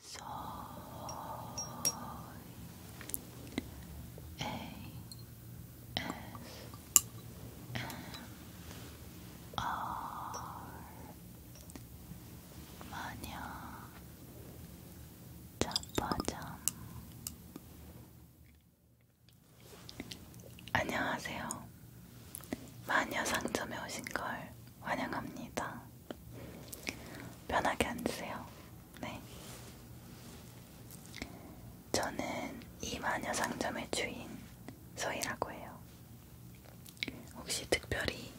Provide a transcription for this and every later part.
Soy ASMR 마녀 자빠잠 안녕하세요. 마녀 상점에 오신 걸 환영합니다. 편하게 앉으세요. 네. 저는 이 마녀 상점의 주인 소희라고 해요. 혹시 특별히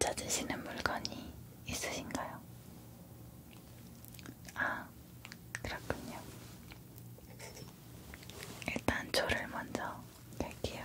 찾으시는 물건이 있으신가요? 아, 그렇군요. 일단 조를 먼저 뺄게요.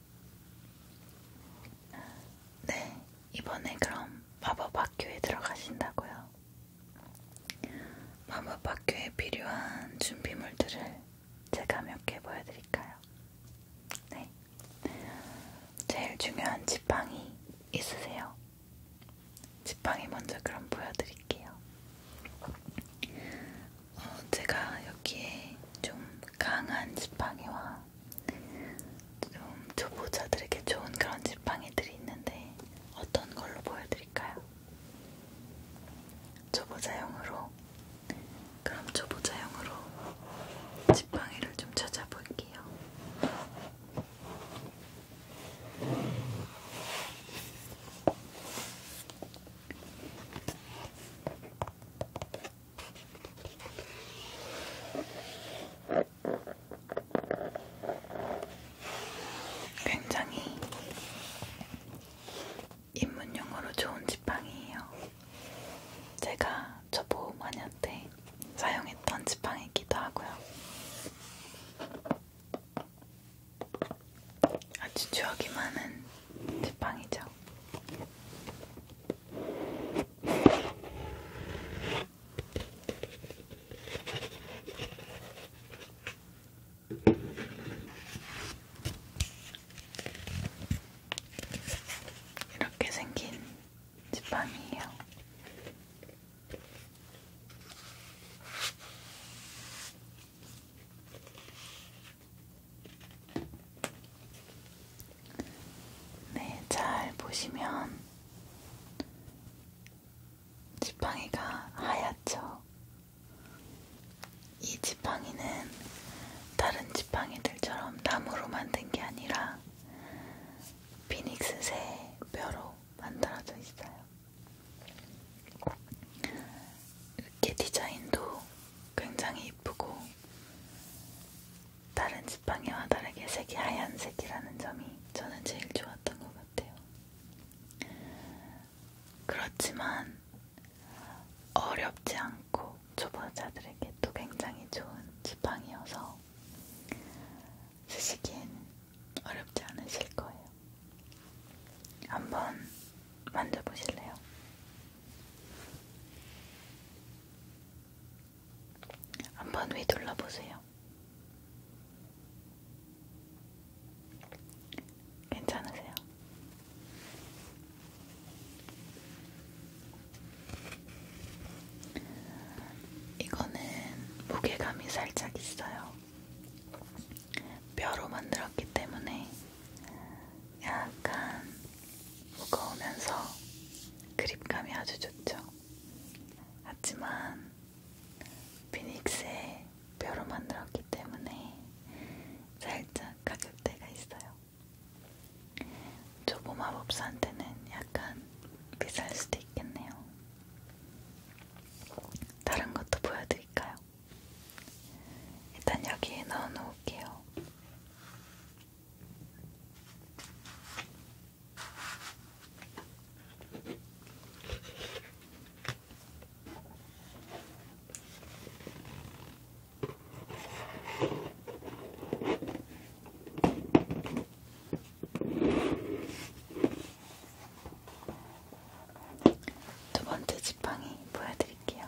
네, 이번에 그럼 마법 학교에 들어가신다고요. 마법 학교에 필요한 준비물들을 제가 몇 개 보여드릴까요? 네, 제일 중요한 지팡이 있으세요? 지팡이 먼저 그럼 보여드릴게요. 어, 제가 여기에 좀 강한 지팡이와 좀 초보자들에게 좋은 그런 지팡이들이 있는데 어떤 걸로 보여드릴까요? 초보자용으로 그럼 초보자용으로 지팡이를 좀 찾아볼게요. 굉장히 입문용으로 좋은 지팡이에요. 제가 저 보호마녀 때 사용했던 지팡이기도 하고요. 아주 추억이 많은 지팡이죠. 이렇게 생긴 지팡이에요. 네, 잘 보시면 지팡이가 하얗죠? 이 지팡이는 다른 지팡이들처럼 나무로 만든 게 아니라 피닉스 새 뼈로 만들어져 있어요. 이렇게 디자인도 굉장히 이쁘고 다른 지팡이와 다르게 색이 하얀색이라는 점이 저는 제일 좋았던 것 같아요. 그렇지만 어렵지 않고 초보자들에게 또 굉장히 좋은 지팡이여서 쓰시기엔 어렵지 않으실 거예요. 한번 만져보실래요? 한번 휘둘러 보세요. 괜찮으세요? 이거는 무게감이 살짝 있어요. 뼈로 만들었기 때문에 약간 무거우면서 그립감이 아주 좋죠. 하지만 피닉스의 뼈로 만들었기 때문에 살짝 가격대가 있어요. 초보 마법사한테는 약간 비쌀 수도 있겠네요. 다른 것도 보여드릴까요? 일단 여기에 넣어놓을게요. 두 번째 지팡이 보여드릴게요.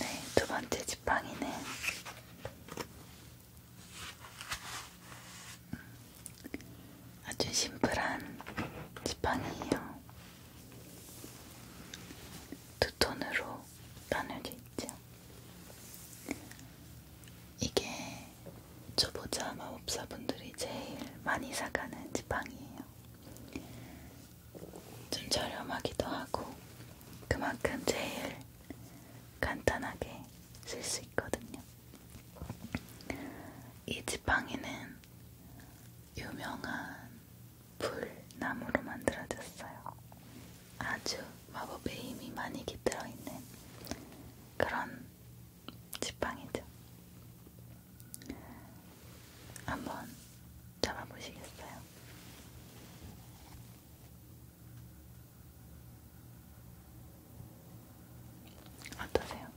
네, 두 번째 지팡이는 아주 심플한 지팡이에요. 두 톤으로 나눌 수 있죠. 이게 초보자 마법사분들이 제일 많이 사가는 지팡이에요. 좀 저렴하기도 하고 그만큼 제일 간단하게 쓸 수 있거든요. 이 지팡이는 유명한 불나무로 만들어졌어요. 아주 마법의 힘이 많이 깃들어 있는 그런 지팡이죠. 한번 잡아보시겠어요? 어떠세요?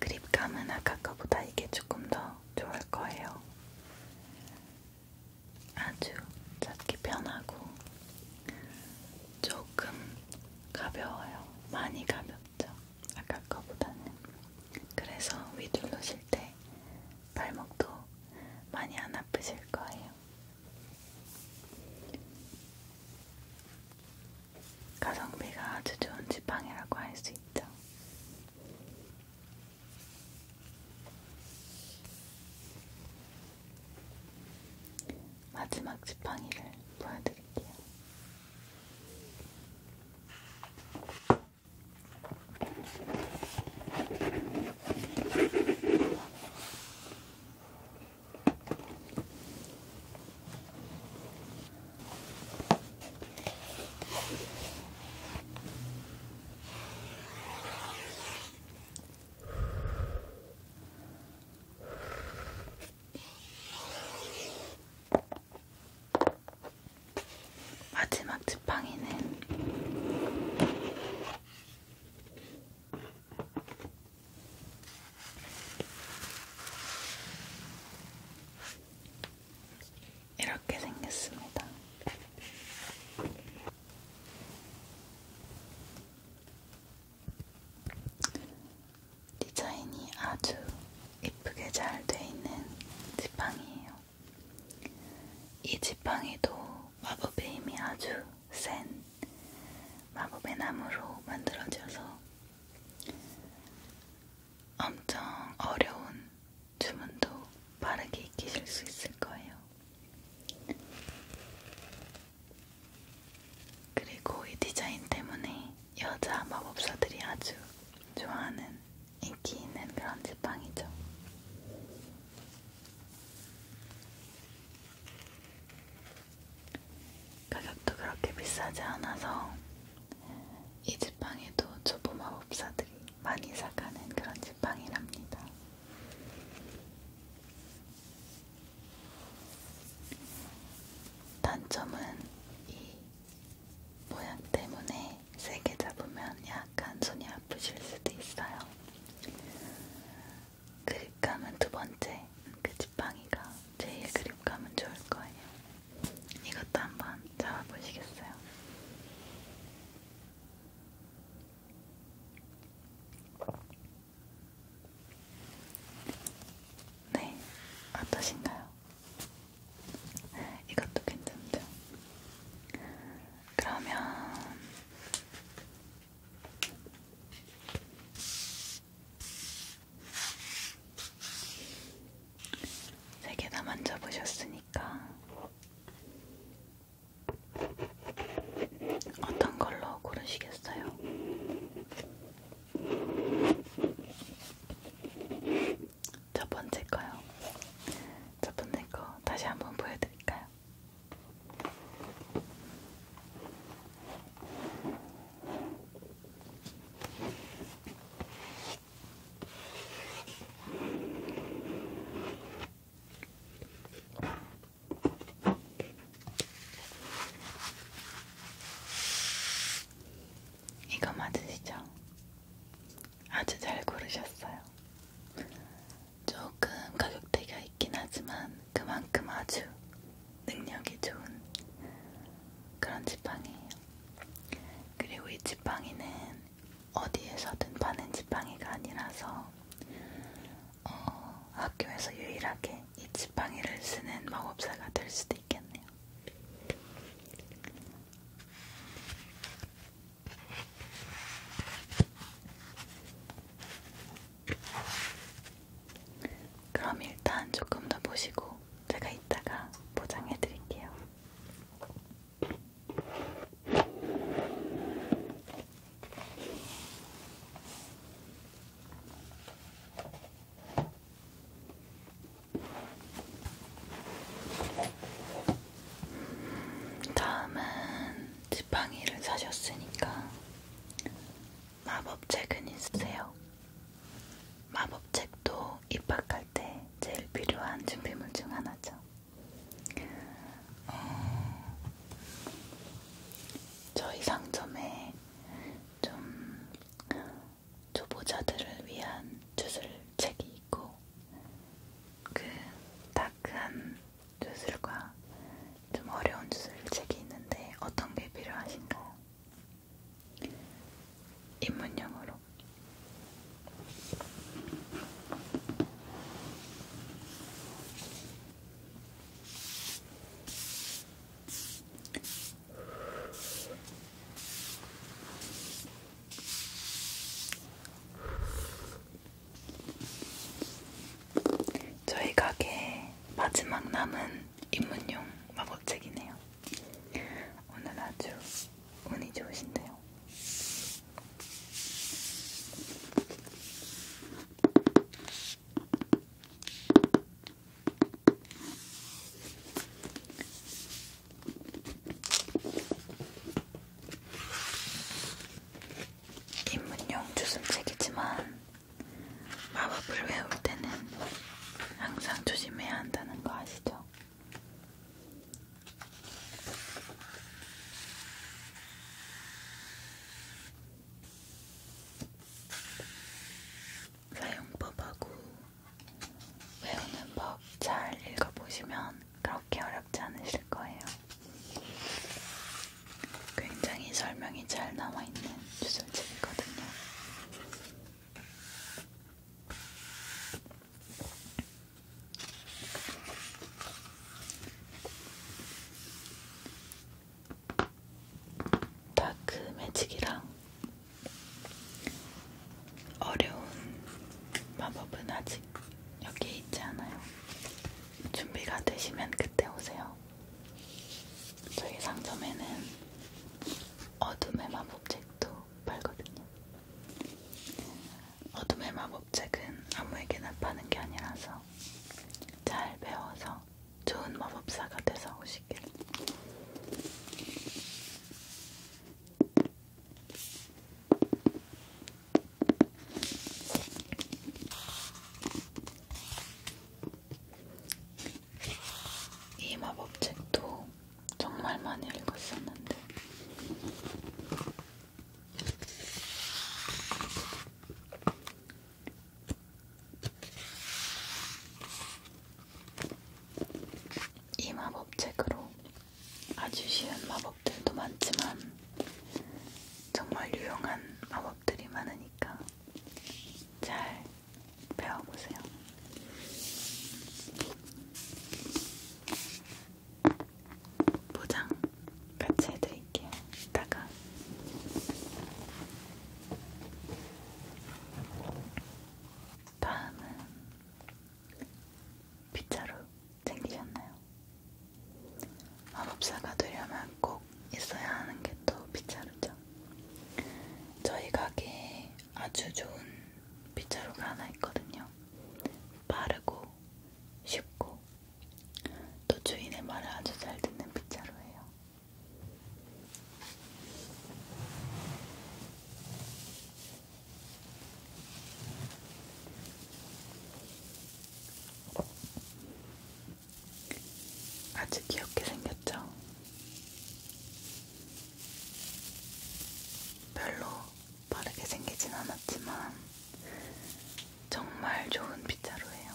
그립감은 아까 거보다 이게 조금 더 좋을 거예요. 아주 잡기 편하고 조금 가벼워요. 많이 가볍죠. 아까 거보다는. 그래서 위둘러실 때 발목도 많이 안 아프실 거예요. 가성비가 아주 좋은 지팡이라고 할 수 있죠. 마지막 지팡이를 보여드릴게요. 마지막 지팡이는 이렇게 생겼습니다. 디자인이 아주 이쁘게 잘 돼 있는 지팡이에요. 이 지팡이도 마법의 힘이 아주 센 마법의 나무로 만들어져서 엄청 어려운 주문도 빠르게 익히실 수 있을 거예요. 그리고 이 디자인 때문에 여자 마법사들이 아주 좋아하는 인기 있는 그런 지팡이죠. 가격도 그렇게 비싸지 않아서 이 지팡이도 초보 마법사들이 많이 사가는 그런 지팡이랍니다. 단점은 이 모양 때문에 세게 잡으면 약간 손이 아프실 수도 있어요. 그립감은 두 번째, 그 지팡이가 제일 그립감은 좋을 거예요. 이것도 한번 잡아보시겠어요? 네, 어떠신가요? 이것도 괜찮죠? 그러면 세 개 다 만져보셨으니까 어떤 걸로 고르시겠어요? 첫 번째 거요. 첫 번째 거 다시 한 번 보여드릴까요? 이거 맞으시죠? 아주 잘 고르셨어요. 조금 가격대가 있긴 하지만 그만큼 아주 능력이 좋은 그런 지팡이에요. 그리고 이 지팡이는 어디에서든 파는 지팡이가 아니라서 어, 학교에서 유일하게 이 지팡이를 쓰는 마법사가 될 수도 있겠네요. 그럼 일단 조금 더 보시고 제가 이따가 포장해 드릴게요. 다음은 지팡이를 사셨으니까 마법책은 있으세요? 마법책도 입학할 때 제일 필요한 준비물 중 하나죠. 어... 저희 상점에 좀 초보자들을 위한 주술 책이 있고 그 다크한 주술과 좀 어려운 주술 책이 있는데 어떤 게 필요하신가요? 입문용으로 저희 가게 마지막 남은 입문용 마법책이네요. 오늘 아주 운이 좋으신데요. 입문용 주슴책이지만 마법을 외울 때는 항상 조심해야 한다는 거 아시죠? 사용법하고 외우는 법 잘 읽어보시면 그렇게 어렵지 않으실 거예요. 굉장히 설명이 잘 나와있는 주술집이거든요. 다크 매직이랑 어려운 마법은 아직 여기에 있지 않아요. 준비가 되시면 그때 오세요. 저희 상점에는 어둠의 마법책도 팔거든요. 어둠의 마법책은 아무에게나 파는 게 아니라서 잘 배워서 좋은 마법사가 돼서 오시길. 이 마법책도 정말 많이 읽었었는데 이 마법책으로 아주 쉬운 마법들도 많지만 정말 유용한 마법들이 많으니까 잘 배워보세요. 포장 같이 해드릴게요. 이따가 다음은 빗자루 챙기셨나요? 마법사가 되려면 꼭 있어야 하는 게 또 빗자루죠. 저희 가게에 아주 좋은 빗자루가 하나 있거든요. 빠르고 쉽고 또 주인의 말을 아주 잘 듣는 빗자루예요. 아주 귀엽게 생겼죠? 별로 빠르게 생기진 않았지만 정말 좋은 빗자루예요.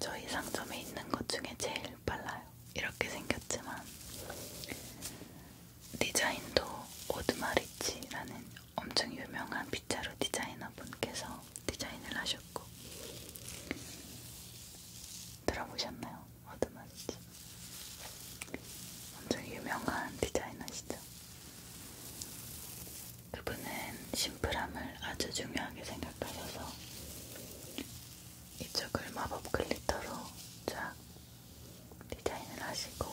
저희 상점에 있는 것 중에 제일 빨라요. 이렇게 생겼지만 디자인도 오드마리치라는 엄청 유명한 빗자루 디자이너 분께서 디자인을 하셨고 들어보셨나요? 오드마리치 엄청 유명한 디자이너시죠. 그분은 심플함을 아주 중요하게 생각하셔서 이쪽을 마법 글리터로 쫙 디자인을 하시고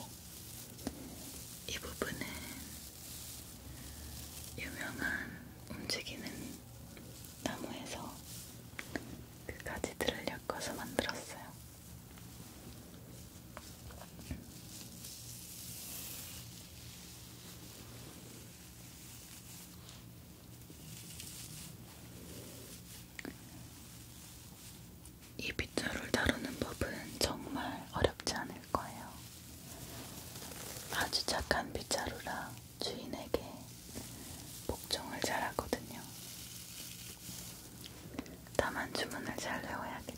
이 부분은 유명한 움직이는 나무에서 그 가지들을 엮어서 만들었어요. 이 빗자루를 다루는 법은 정말 어렵지 않을 거예요. 아주 착한 빗자루라 주인에게 복종을 잘 하거든요. 다만 주문을 잘 외워야겠죠.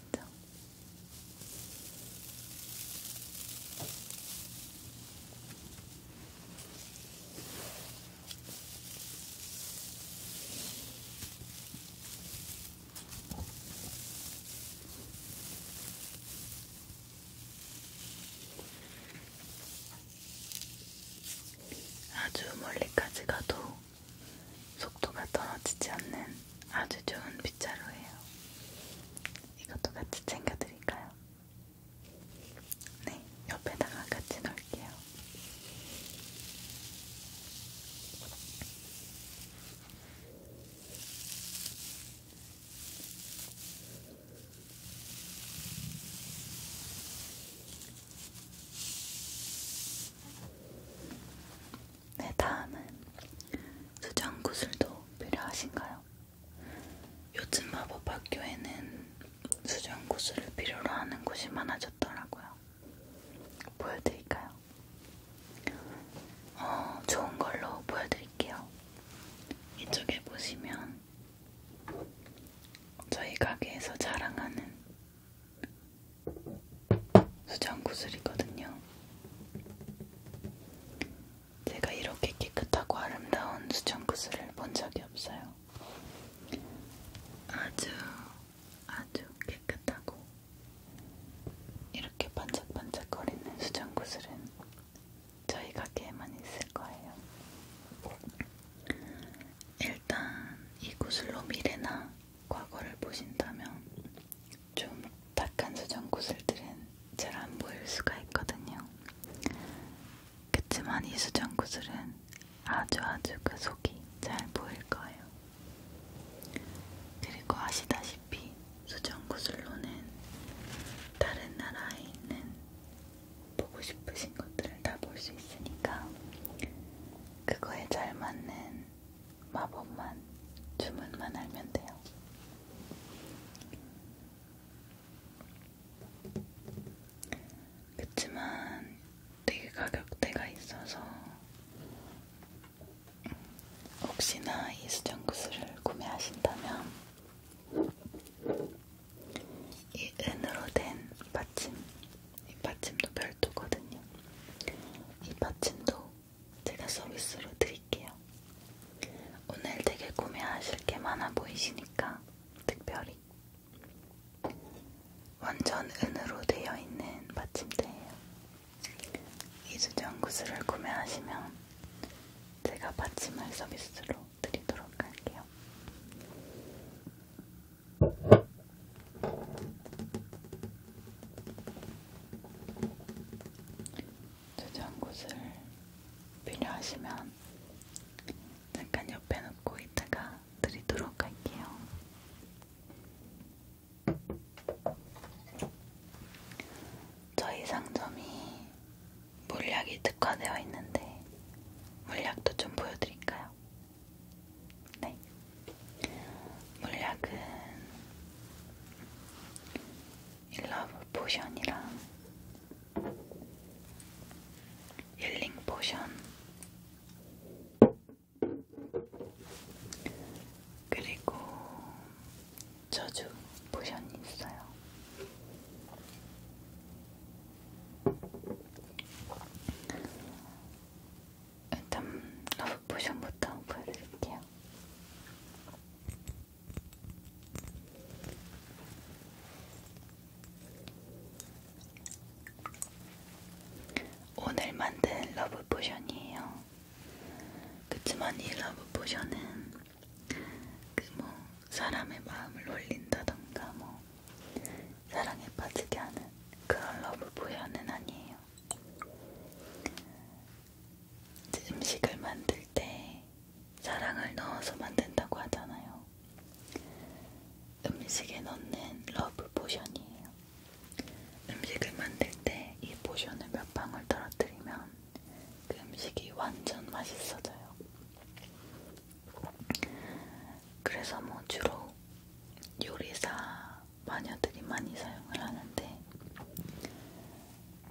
아주 멀리까지 가도 속도가 떨어지지 않는 아주 좋은 빗자루예요. 이것도 같이 챙겨드릴까요? 네, 옆에다가 같이 넣을게요. 네, 다음은 수정 구슬도 필요하신가요? 요즘 마법 학교에는 수련 고수를 필요로 하는 곳이 많아졌더라고요. 보여드릴까요? 어, 좋은 걸로 보여드릴게요. 이쪽에 보시면 저희 가게에서 자랑하는 수정 구슬이거든요. 제가 이렇게 깨끗하고 아름다운 수정구슬을 본 적이 없어요. 아주 아주 깨끗하고 이렇게 반짝반짝거리는 수정구슬은 저희 가게에만 있을 거예요. 일단 이 구슬로 미래나 과거를 보신다면 좀 탁한 수정 구슬들은 잘 안 보일 수가 있거든요. 그치만 이 수정 구슬은 아주 아주 그 속이 잘 보일 거예요. 그리고 아시다시피 수정 구슬로는 다른 나라에 있는 보고 싶으신 것들을 다 볼 수 있으니까 그거에 잘 맞는 마법만 주문만 알면 돼요. 그치만 되게 가격대가 있어서 혹시나 이 수정구슬을 구매하신다면 이 은으로 된 받침 이 받침도 별도거든요. 이 받침도 제가 서비스로 드릴게요. 오늘 되게 구매하실 게 많아 보이시니까 특별히 완전 은으로 되어 있는 받침대예요. 이수정 구슬을 구매하시면 제가 받침을 서비스로 드리도록 할게요. 수정 구슬 필요하시면 잠깐 옆에 놓고 이따가 드리도록 할게요. 저희 상점이 물약이 특화되어 있는데 물약도 좀 보여드릴까요? 네. 물약은 일러브 포션이랑 힐링 포션 그리고 저주 포션이 있어요. 일단 러브 포션부터 보여드릴게요. 오늘 만든 러브 포션이에요. 그치만 이 러브 포션은 그 뭐 사람의 마음을 올린다던가 뭐 사랑에 빠지게 하는 그런 러브 포션은 아니에요. 음식을 만들 때 사랑을 넣어서 만든다고 하잖아요. 음식에 넣는 러브 포션이에요. 음식을 만들 때 이 포션을 몇 방울 떨어뜨리면 그 음식이 완전 맛있어져요. 그래서 뭐 주로 요리사 마녀들이 많이 사용을 하는데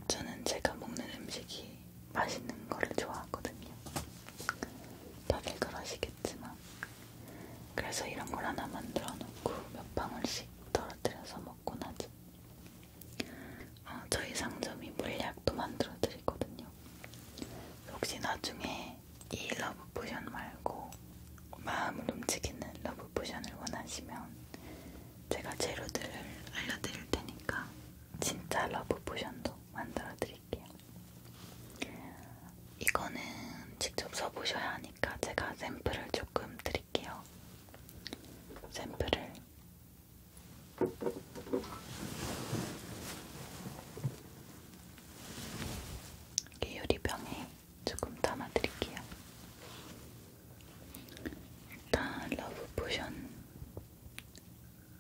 저는 제가 먹는 음식이 맛있는 거를 좋아하거든요. 다들 그러시겠지만 그래서 이런 걸 하나 만들어 놓고 몇 방울씩 떨어뜨려서 먹곤 하죠. 아, 저희 상점이 물약도 만들어 드리거든요. 혹시 나중에 이 러브 포션 말고 마음을 움직이는 러브 포션을 원하시면 제가 재료들을 알려드릴 테니까 진짜 러브 포션도 만들어 드릴게요. 이거는 직접 써보셔야 하니까 제가 샘플을 조금 드릴게요. 샘플을 이 유리병에 조금 담아드릴게요. 일단 러브 포션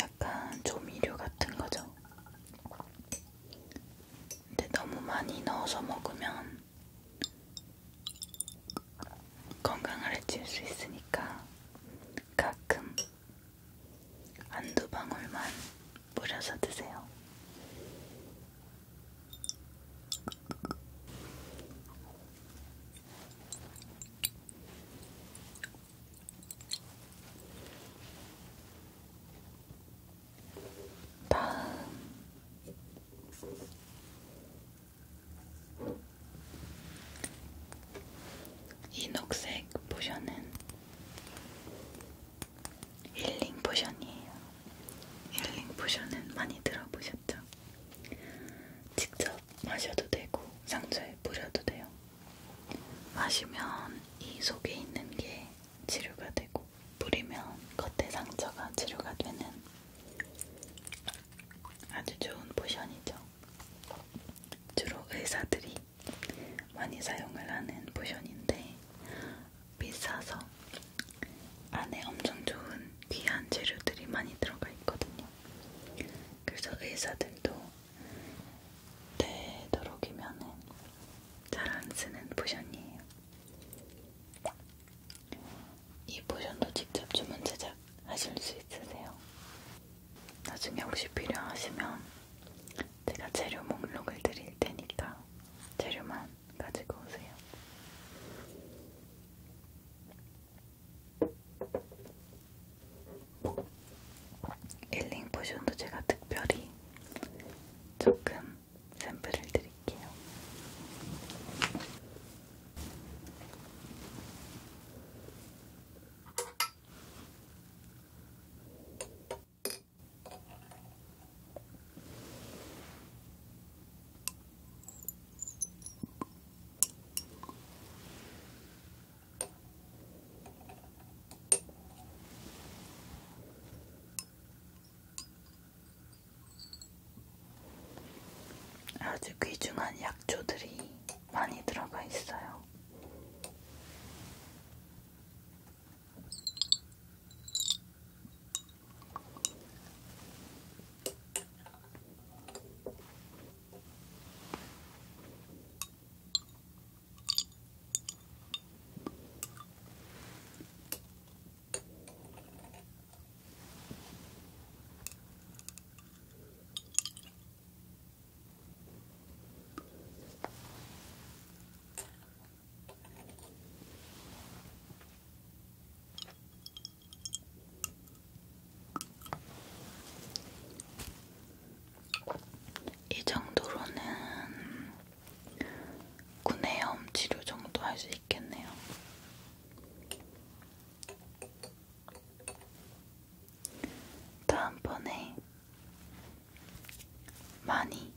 약간 조미료 같은 거죠. 근데 너무 많이 넣어서 먹으면 건강을 해칠 수 있으니까 가끔 한두 방울만 뿌려서 드세요. 다음 이 녹색 포션은 힐링 포션이에요. 힐링 포션은 많이 들어보셨죠? 직접 마셔도 되고 상처에 뿌려도 돼요. 마시면 이 속에 있는 게 치료가 되고 뿌리면 겉에 상처가 치료가 되는 아주 좋은 포션이죠. 주로 의사들이 많이 사용을 하는 포션인데 비싸서 안에 엄청 좋은 귀한 재료들이 많이 들어가 있거든요. 그래서 의사들도 되도록이면은 잘안 쓰는 포션이에요. 이 포션도 직접 주문 제작하실 수 있으세요. 나중에 혹시 필요하시면 제가 재료 목록을 드릴 테니까 재료만 가지고 오세요. 일링 포션도 제가 특별히 조금 샘플을 드릴게요. 아주 귀중한 약초들이 많이 들어가 있어요. 이 정도로는 구내염 치료 정도 할 수 있겠네요. 다음번에 많이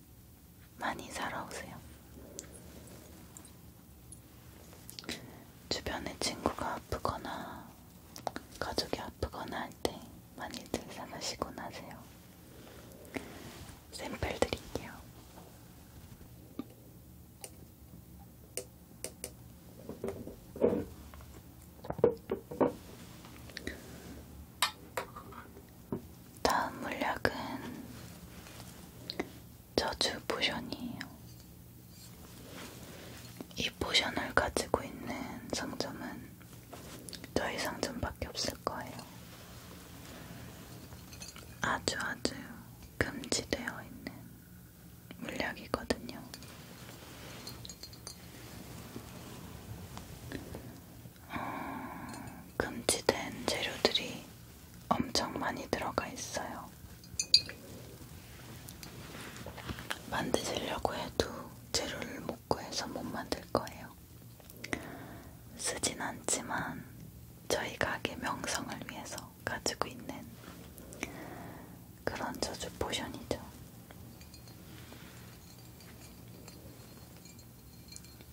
많이 살아오세요. 주변에 친구가 아프거나 가족이 아프거나 할 때 많이들 사가시곤 하세요. 샘플 드릴게요. 다음 물약은 저주 포션이에요. 이 포션을 가지고 있는 상점은 저희 상점밖에 없어요. 있을 거예요. 아주 아주 금지되어 있는 물약이거든요. 어, 금지된 재료들이 엄청 많이 들어가 있어요. 만드시려고 해도 재료를 못 구해서 못 만들 거예요. 쓰진 않지만 저희 가게 명성을 위해서 가지고 있는 그런 저주 포션이죠.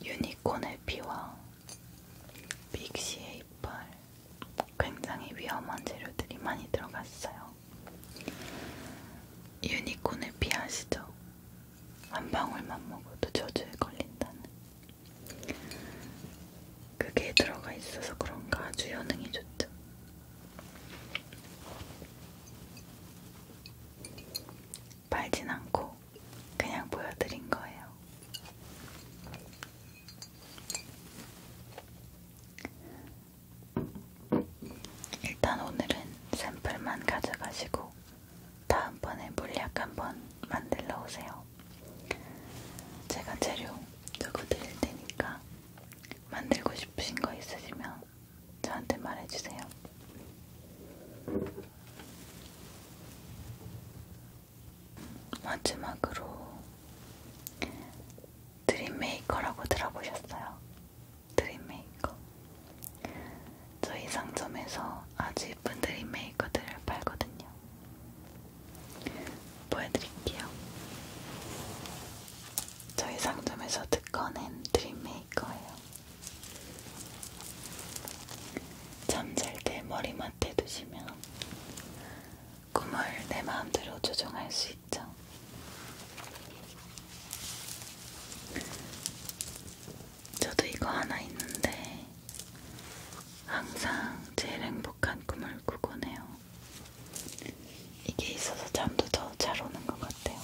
유니콘의 피와 빅시의 이빨 굉장히 위험한 재료들이 많이 들어갔어요. 유니콘의 피 아시죠? 한 방울만 먹어도 저주에 걸린다는 그게 들어가 있어서 그런가 아주 효능이 좋죠. 빨진 않고 그냥 보여드린 거예요. 일단 오늘은 샘플만 가져가시고 다음번에 물약 한 번 만들러 오세요. 제가 재료 두고 드릴 테니까 만들고 싶으신 거 있으시면 저한테 말해주세요. 마지막으로 드림메이커라고 들어보셨어요? 드림메이커 저희 상점에서 아주 예쁜 드림 메이커들을 팔거든요. 보여드릴게요. 저희 상점에서 듣꺼낸 드림 메이커예요. 잠잘 때 머리맡에 두시면 꿈을 내 마음대로 조정할 수 있죠. 저도 이거 하나 있는데 항상 제일 행복한 꿈을 꾸곤 해요. 이게 있어서 잠도 더 잘 오는 것 같아요.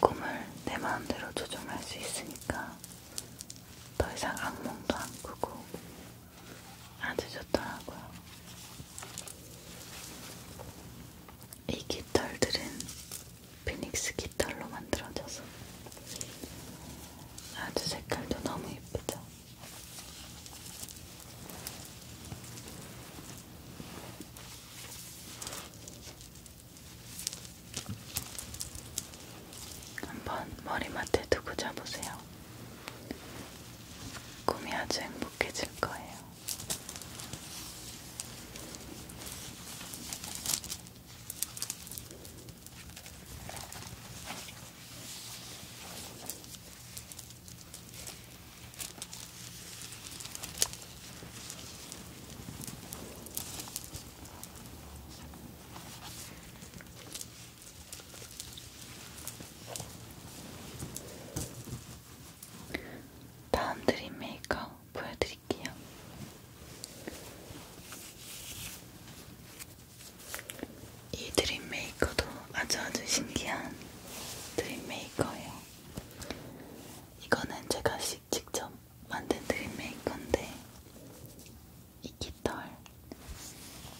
꿈을 내 마음대로 조정할 수 있으니까 더 이상 악몽도 안 꾸고 아주 좋더라고요. 이 깃털들은 피닉스 깃털로 만들어져서 아주 색깔도 너무 예쁘죠? 한번 머리맡에 두고 자보세요. 꿈이 아주 행복해질 거예요. 다음 드림 메이크업 보여드릴게요. 이 드림메이커도 아주 아주 신기한 드림메이커예요. 이거는 제가 직접 만든 드림메이커인데 이 깃털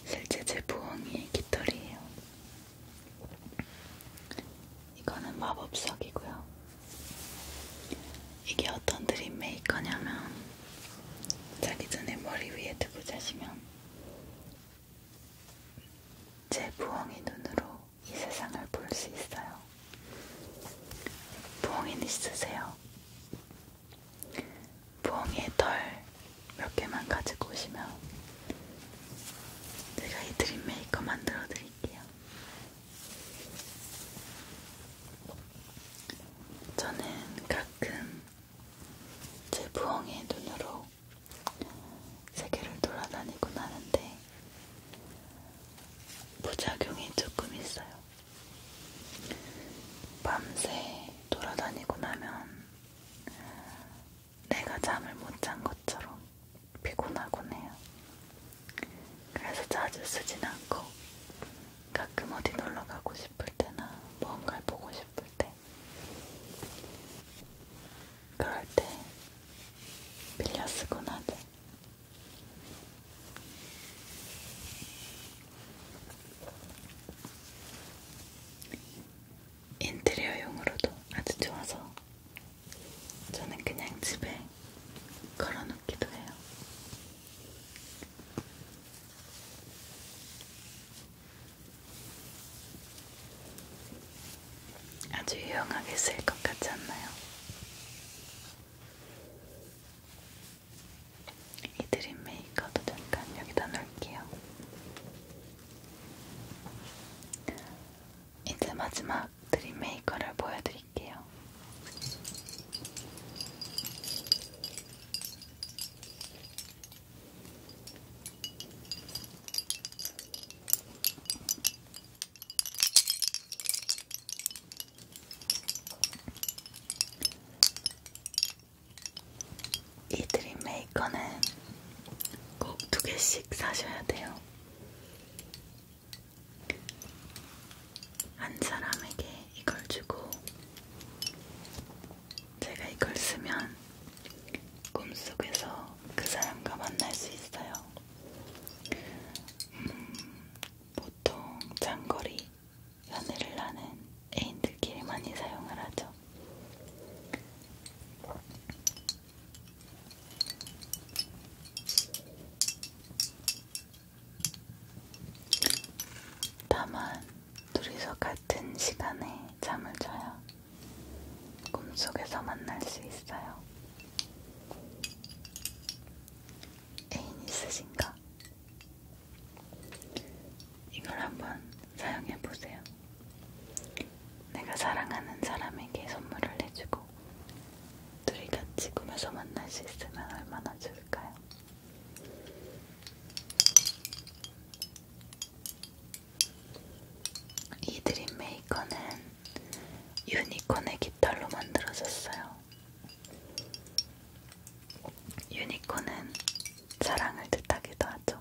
실제 제 부엉이의 깃털이에요. 이거는 마법석이고요. 이게 어떤 드림 메이커냐면 자기 전에 머리 위에 두고 자시면 제 부엉이 눈으로 이 세상을 볼 수 있어요. 부엉이는 있으세요? 부엉이의 털몇 개만 가지고 오시면 제가 이 드림 메이커 만들어 드릴게요. 저는 가끔 제 부엉이의 눈으로 세계를 돌아다니곤 하는데 부작용이 조금 있어요. 밤새 돌아다니고 나면 내가 잠을 못 잔 것처럼 피곤하곤 해요. 그래서 자주 쓰진 않고 가끔 어디 놀러 가고 싶을 때나 뭔가를 보고 싶을 때 그럴 때 빌려 쓰곤 하죠. 인테리어용으로도 아주 좋아서 저는 그냥 집에 걸어놓기도 해요. 아주 유용하게 쓸 것 같지 않나요? 이 드림 메이커도 잠깐 여기다 놓을게요. 이제 마지막 드림 메이커를 보여드릴게요. 이 드림 메이커는 꼭 두 개씩 사셔야 돼요. 한 사람에게 이걸 주고 제가 이걸 쓰면 꿈속에서 그 사람과 만날 수 있어요. 음, 보통 장거리 연애를 하는 애인들끼리 많이 사용을 하죠. 다만 둘이서 같은 시간에 잠을 자야 꿈속에서 만날 수 있어요. 애인 있으신가? 이걸 한번 사용해 보세요. 내가 사랑하는 사람에게 선물을 해주고 둘이 같이 꿈에서 만날 수 있으면 얼마나 좋을까요? 이 드림메이커는 유니콘의 깃털로 만들어졌어요. 유니콘은 사랑을 뜻하기도 하죠.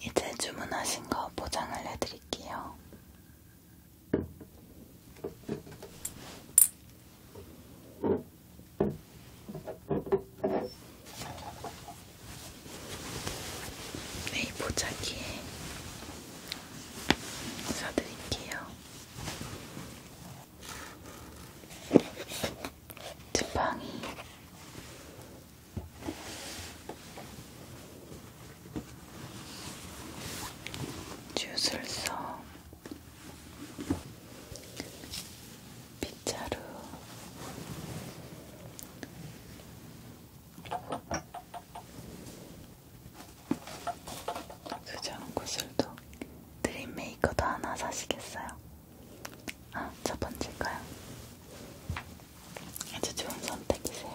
이제 주문하신 거 포장을 해드릴게요. 네, 보자기에 사드릴게요. 지팡이 주술서 빗자루 수정 구슬도 드림메이커도 하나 사시겠어요? 아, 첫 번째일까요? 아주 좋은 선택이세요.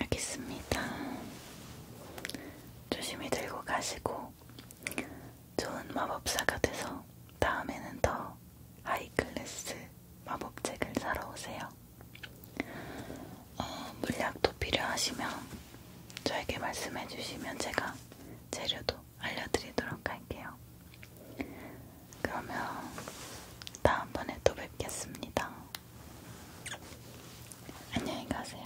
알겠습니다. 조심히 들고 가시고 좋은 마법사가 돼서 다음에는 더 하이클래스 마법책을 사러 오세요. 어, 물약도 필요하시면 저에게 말씀해 주시면 제가 재료도 알려드리도록 할게요. 그러면 다음번에 또 뵙겠습니다. 안녕히 가세요.